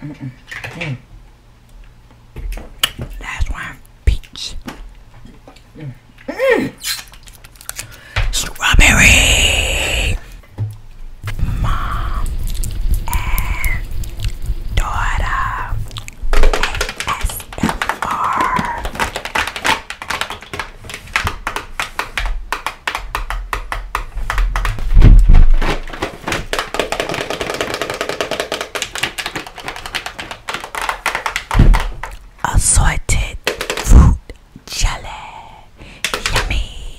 Mm -mm. peach. Strawberry. Mom and daughter. ASMR. Assorted fruit jelly. Yummy.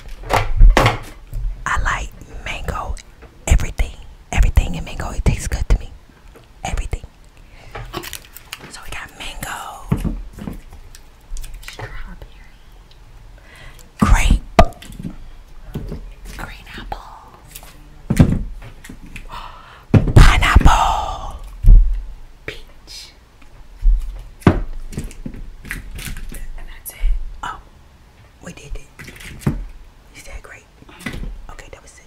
I like mango. Everything. Everything in mango. It tastes good to me. Everything. So we got mango. Strawberry. Grape. Green apple. Pineapple. Peach. And that's it. Oh, we did it. Is that great? Mm-hmm. Okay, that was it.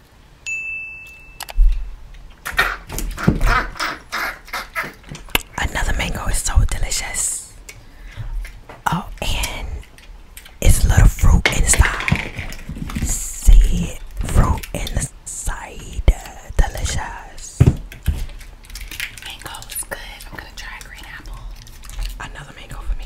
Another mango is so delicious. Oh, and it's little fruit inside. See, fruit inside. Delicious. Mango is good. I'm gonna try a green apple. Another mango for me.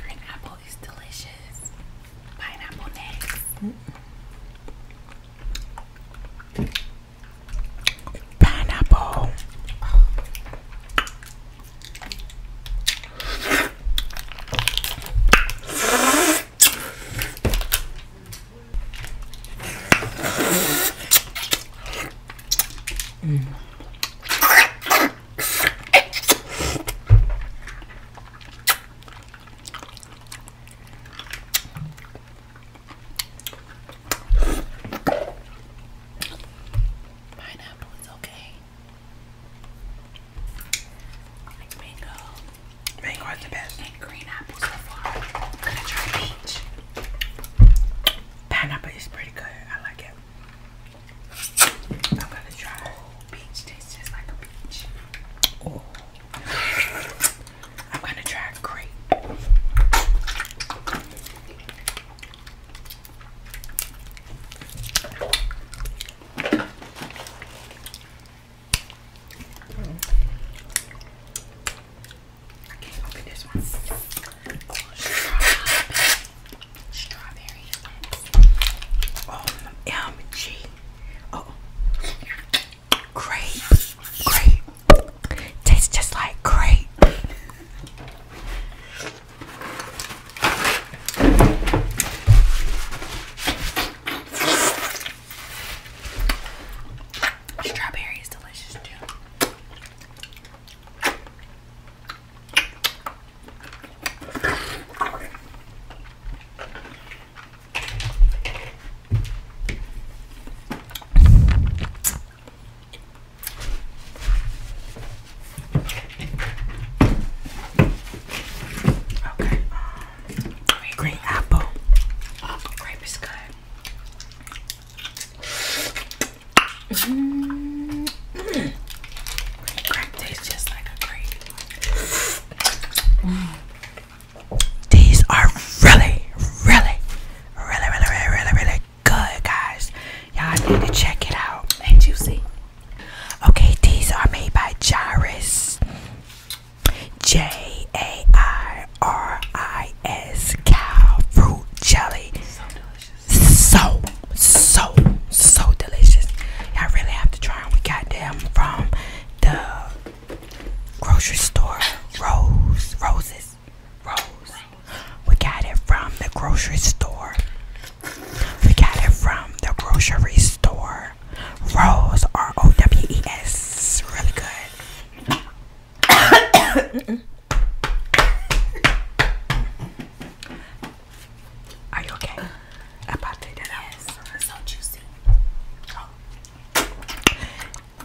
Green apple is delicious. Pineapple next. Pineapple. Oh. Pineapple is okay. mango. Mango is the best. green apple so far. gonna try peach. Pineapple is pretty good. I like it. I'm gonna try peach. Tastes just like a peach. I'm gonna try grape. I can't open this one. Strawberry. OMG. Oh. Grape. Grape. Tastes just like grape. Strawberry is delicious too. Okay, um, green apple, grape is good. Mm. Mm. These are really, really, really, really, really, really, good, guys. Y'all need to check it out. And juicy. Okay, these are made by Jairus. J A I R I S cow fruit jelly so, so, so delicious. you really have to try We got them from the grocery store. Rose, roses, rose. We got it from the grocery store. We got it from the grocery store. Rose, R O W E S. Really good. Are you okay? I'm that Yes, so juicy.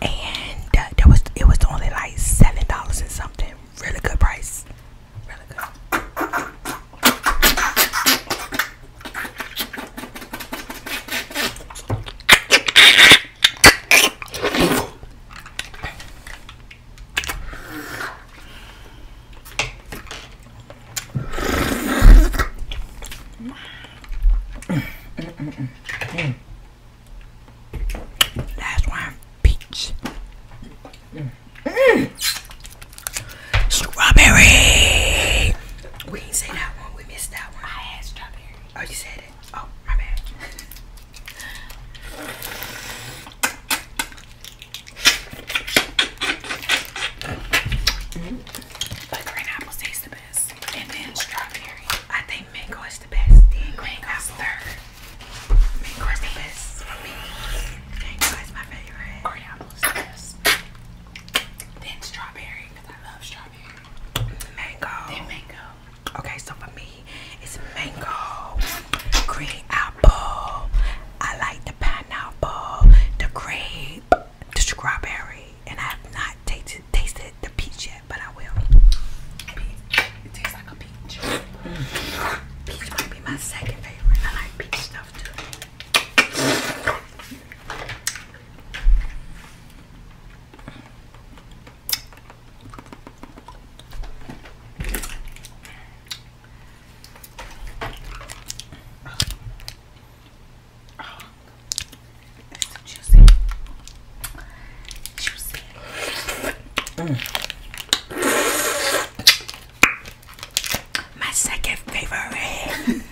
And uh, was it was only like seven dollars and something. Really good price. Really good. That's why peach. Strawberry! We didn't say that one, we missed that one. I had strawberry. Oh, you said it? Oh, my bad. But green apples taste the best. And then strawberry. I think mango is the best. Then green apples third. Mango is the best for me. Mango is my favorite. Green apples is the best. Then strawberry, because I love strawberry. Mango. Then mango. Okay, so for me, it's mango, green apple. I like the pineapple, the grape, the strawberry, and I have not tasted tasted the peach yet, but I will. It tastes like a peach. Mm. Peach might be my second favorite. I like peach stuff too juicy. Juicy. Mm. My second favorite.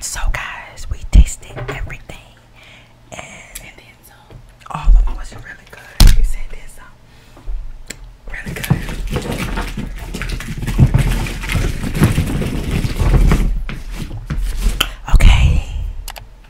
So guys, we tasted everything. And, then some. All of them was really good. Really good. Okay.